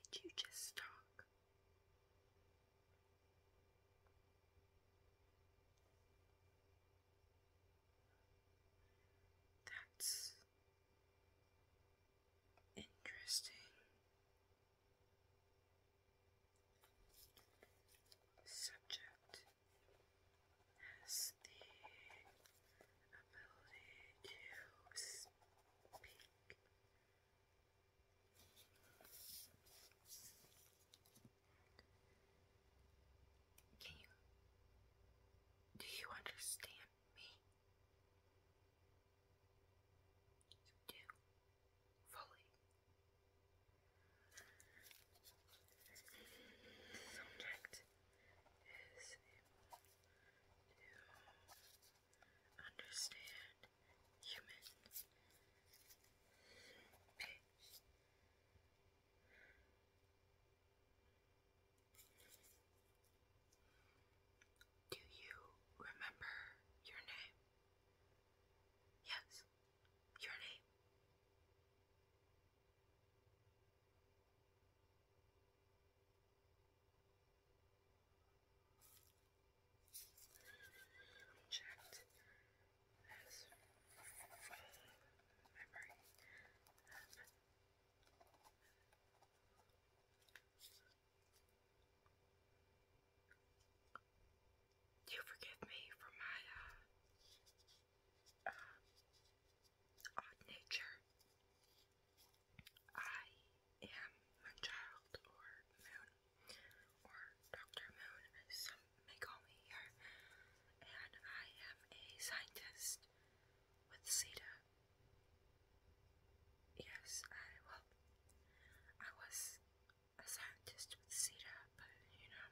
Did you just talk? That's interesting. Subject has the ability to speak. Can you do you understand me? do fully. Subject is to understand human pitch do you remember your name? Yes, your name. Checked as do you forgive me for my uh, uh, odd nature? I am Moonchild or Moon or Dr. Moon, I'm Megomi here, and I am a scientist with CETA. Yes, I, well, I was a scientist with CETA, but you know,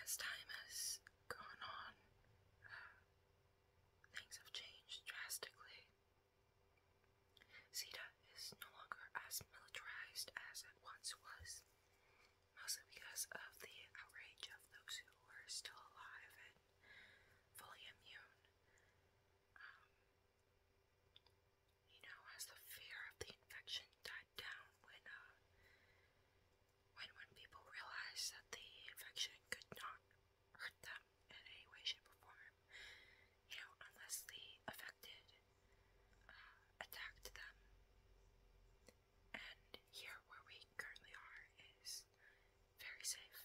as time has gone on, uh, things have changed drastically. CETA is no longer as militarized as it once was mostly because of the outrage of those who were still alive and fully immune. Um, you know, as the fear of the infection died down when, uh, when, when people realized that the infection could not hurt them in any way, shape, or form, you know, unless the affected uh, attacked them and here where we currently are is very safe.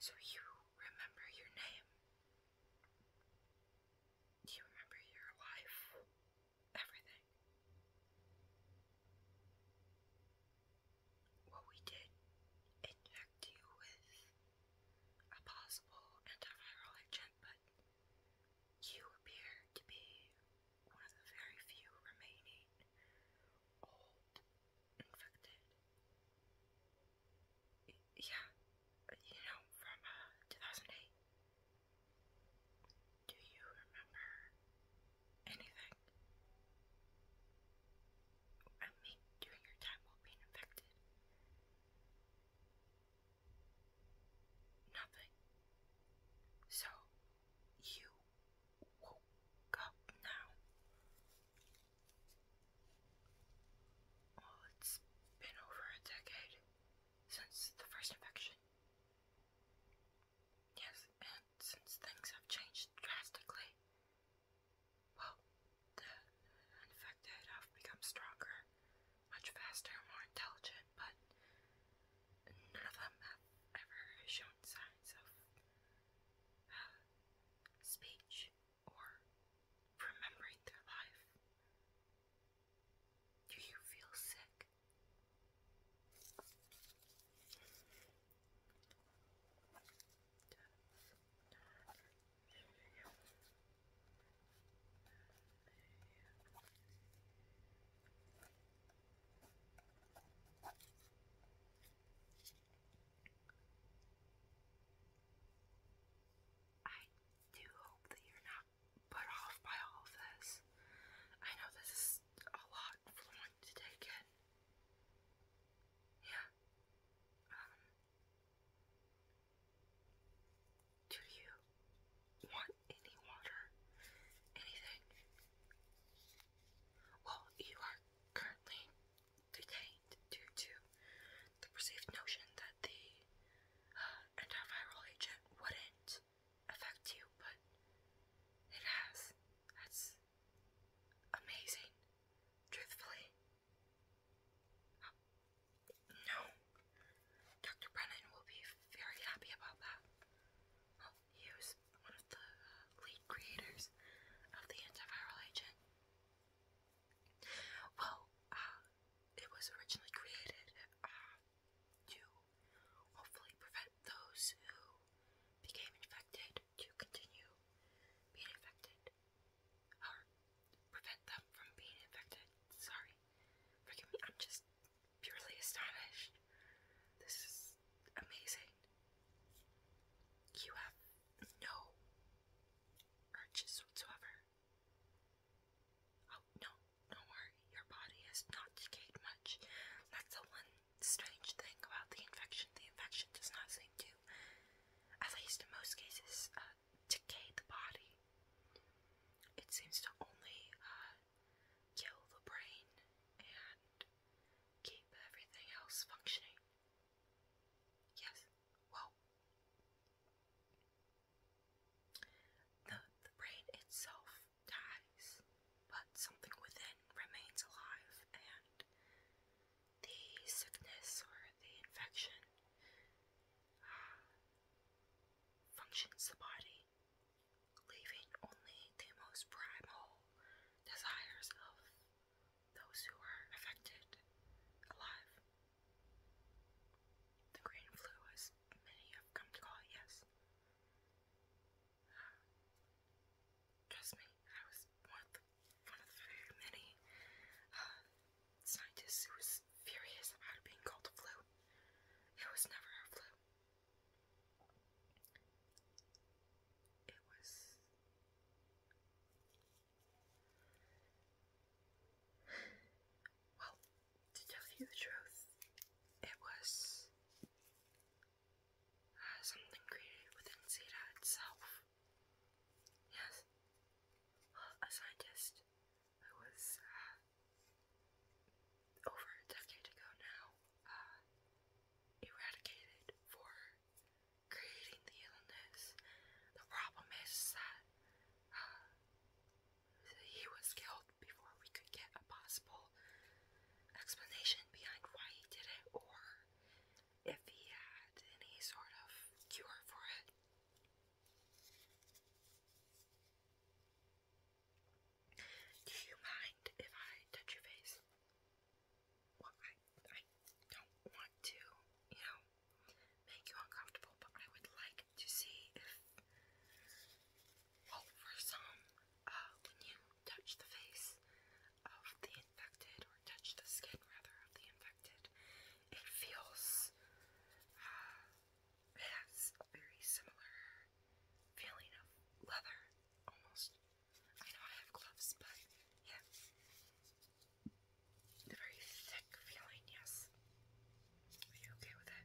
So you remember your name? Do you remember your life? Everything? What we did inject you with a possible antiviral agent, but you appear to be one of the very few remaining old infected. Yeah, you know, from uh, 2008. Do you remember anything? I mean, during your time while being infected nothing. So you woke up now. Well, it's been over a decade since the first infection. Yes, and since things have changed drastically, well, the infected have become stronger much faster and more intelligent, but none of them have ever shown signs of uh, speech or remembering their life. Do you feel sick? I do hope that you're not put off by all of this. I know this is a lot for one to take in. Yeah. Um, do you want any water? Anything? Well, you are currently detained due to the perceived notion that the uh, antiviral agent wouldn't affect you, but it has. That's amazing. Truthfully, no. Dr. Brennan will be very happy about that. Oh, he was one of the uh, lead creators of the antiviral agent. Well, uh, it was originally created uh, to hopefully prevent those who became infected to continue being infected prevent them from being infected. Sorry. Forgive me, I'm just purely astonished. This is amazing. You have no urges whatsoever. Oh, no, don't worry. Your body has not decayed much. That's the one strange thing about the infection. The infection does not seem to, at least in most cases, uh, decay the body. It seems to only uh, kill the brain and keep everything else functioning. Yes, well, the, the brain itself dies, but something within remains alive, and the sickness or the infection uh, functions the body, leaving only the most primal desires of those who are affected alive. The green flu, as many have come to call it, yes. trust me, I was one of many uh, scientist who was furious about being called a flu. It was never a flu. It was. Well, to tell you the truth, it was. Uh, something created within Zeta itself. Yes. a scientist it was uh, over a decade ago now, uh, eradicated for creating the illness. The problem is that uh, he was killed before we could get a possible explanation behind why he did it or if he had any sort of cure for it. Do you mind if I touch your face? Well, I, I don't want to, you know, make you uncomfortable, but I would like to see if, oh, for some, uh, when you touch the face of the infected, or touch the skin, rather, of the infected, it feels, uh, it very similar feeling of leather, almost. I know I have gloves, but yeah. The very thick feeling, yes. Are you okay with it?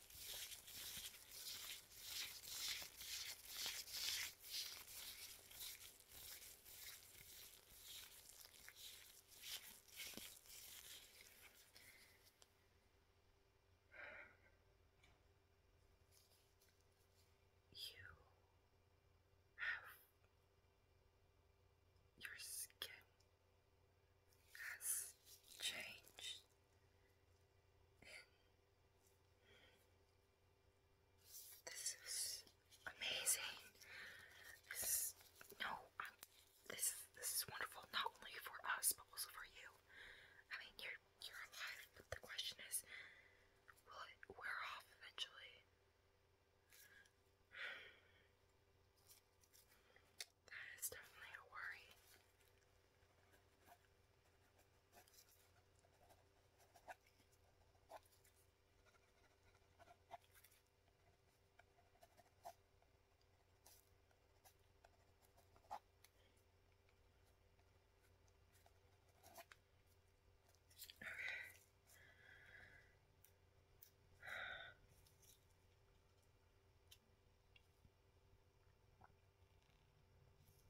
You have your skin has changed this is amazing. This no, I'm, this is this is wonderful not only for us but also for you. I mean, you're you're alive, but the question is, will it wear off eventually? That is definitely a worry. Okay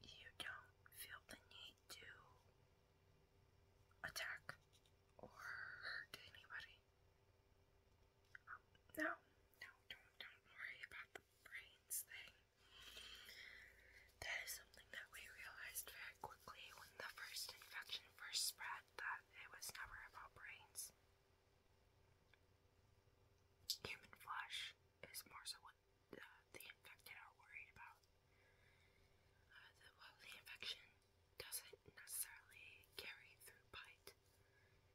you don't feel the need to attack or hurt anybody. Um, no, no, don't, don't worry about the brains thing. That is something that we realized very quickly when the first infection first spread that it was never about brains. Human flesh is more so what uh, the, infected are worried about. Uh, well, the infection doesn't necessarily carry through bite.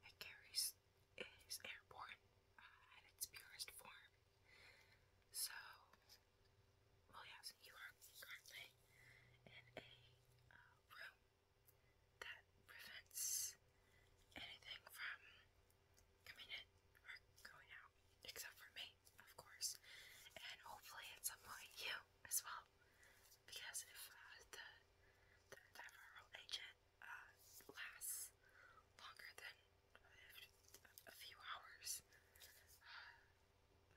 It carries it is airborne uh, its purest form. So, well, yes, you are currently in a uh, room that prevents anything from coming in or going out, except for me, of course, and hopefully at some point you as well, because if uh, the the viral agent uh, lasts longer than a few hours, uh,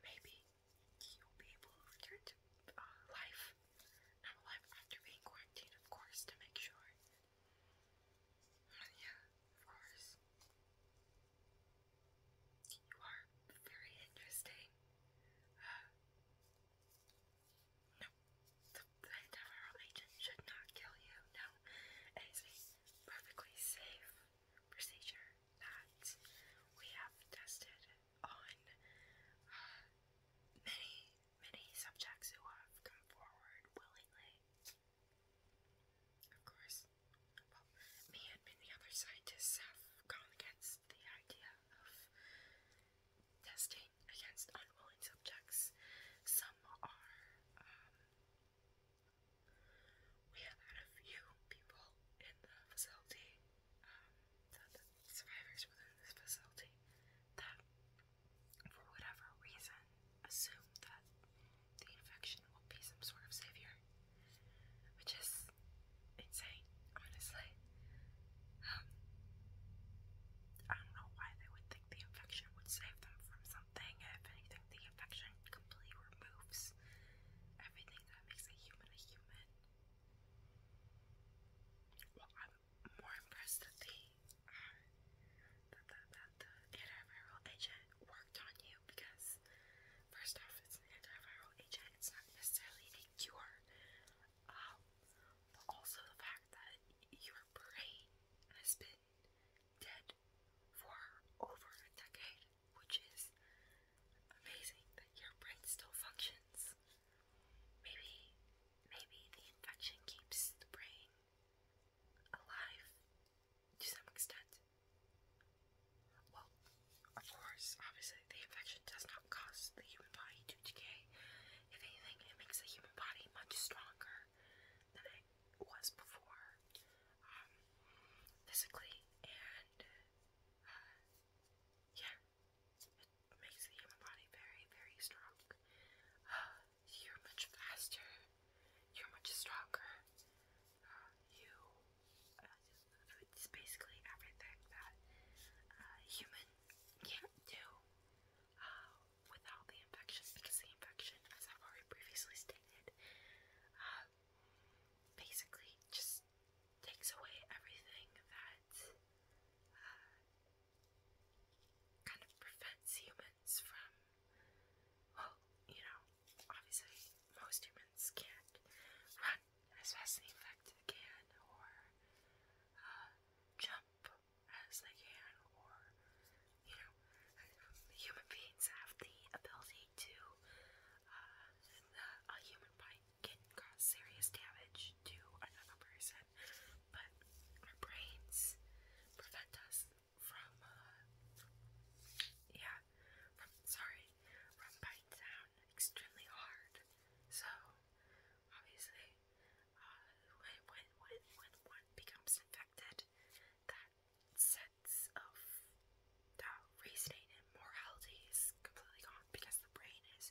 maybe you'll be able to return to life, not life after being quarantined, of course, to make sure but yeah, of course. You are very interesting. no, the, the agent should not kill you. No, it is perfectly safe procedure that we have tested on many many subjects who have come forward willingly. Of course, well, many other scientists have gone against the idea of testing against unwilling subjects. Some are, um, we have had a few people in the facility, um, the survivors within this facility that for whatever reason, assume that the infection will be some sort of savior, which is insane, honestly. Um, I don't know why they would think the infection would save them from something. If anything, the infection completely removes everything that makes a human a human more impressed that the, that, that, that antiviral agent worked on you because, first off, it's an antiviral agent, it's not necessarily a cure. Um, but also the fact that your brain has been dead for over a decade, which is amazing that your brain still functions. Maybe, maybe the infection keeps the brain alive to some extent. Well, of course, obviously, the infection does not cause the human body to decay. If anything, it makes the human body much stronger than it was before, um, physically, and uh, yeah, it makes the human body very, very strong. you're much faster, you're much stronger. Uh, you, uh, it's basically everything that uh, can't do uh, without the infection, because the infection, as I've already previously stated, basically just takes away everything that kind of prevents humans from, well, you know, obviously most humans can't run as fast as they can, or uh, jump as they can, or, you know, human beings have the ability to, uh, a human bite can cause serious damage to another person but our brains prevent us from, uh, yeah, from, sorry, from biting down extremely hard. So, obviously, uh, when, when, when, when one becomes infected, that sense of uh, reasoning and morality is completely gone because the brain is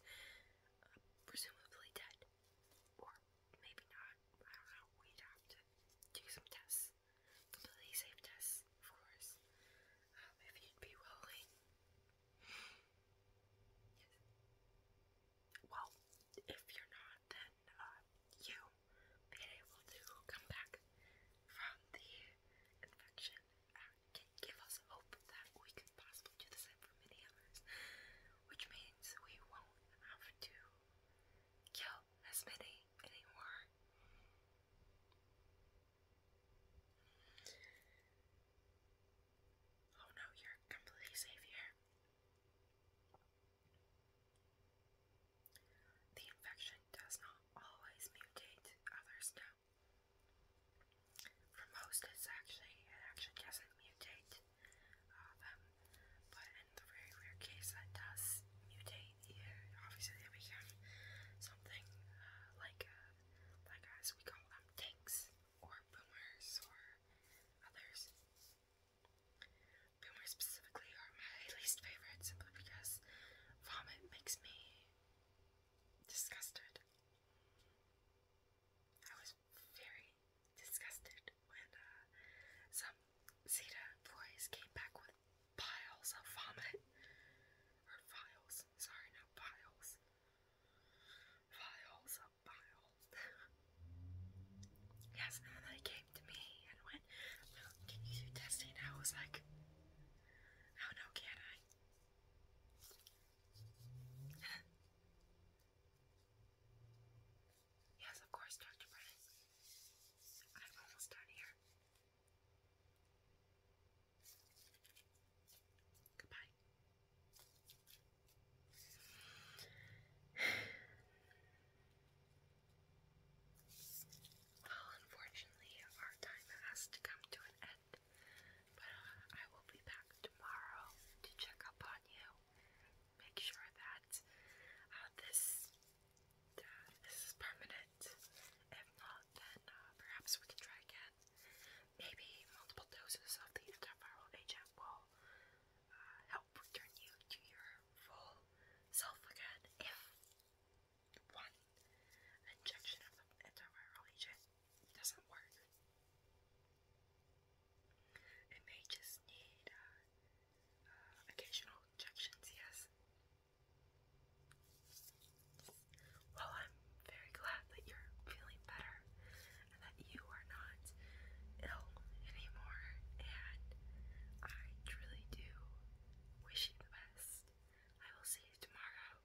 presumably dead. Or maybe not. We'd have to do some tests. Completely safe tests, of course. Um, if you'd be willing. Well, if you're not, then uh, you being able to come back from the infection can give us hope that we can possibly do the same for many others, which means we won't have to kill as many anymore. Oh no, you're completely safe here. The infection does not always mutate others now. For most, it's actually, it actually doesn't mutate. Um, but in the very rare case that does mutate, obviously they become something uh, like uh, like us we call them tanks or boomers or others. Boomers specifically are my least favorite simply because vomit makes me disgusted very disgusted when uh, some Zeta boys came back with piles of vomit. Or vials, sorry, not piles. Vials of piles. yes, and they came to me and went, Can you do testing? I was like, Oh no, can I? Yes, of course, Dr. Brennan. I'm almost done here. Goodbye. Well, unfortunately, our time has to come to an end, but uh, I will be back tomorrow to check up on you make sure that uh, this uh, this is permanent. If not, then uh, perhaps we can try again. Maybe multiple doses of the antiviral agent will help return you to your full self again. If one injection of the antiviral agent doesn't work, it may just need uh, uh, occasional injections, yes. Well, I'm very glad that you're feeling better and that you are not ill anymore, and I truly do wish you the best. I will see you tomorrow.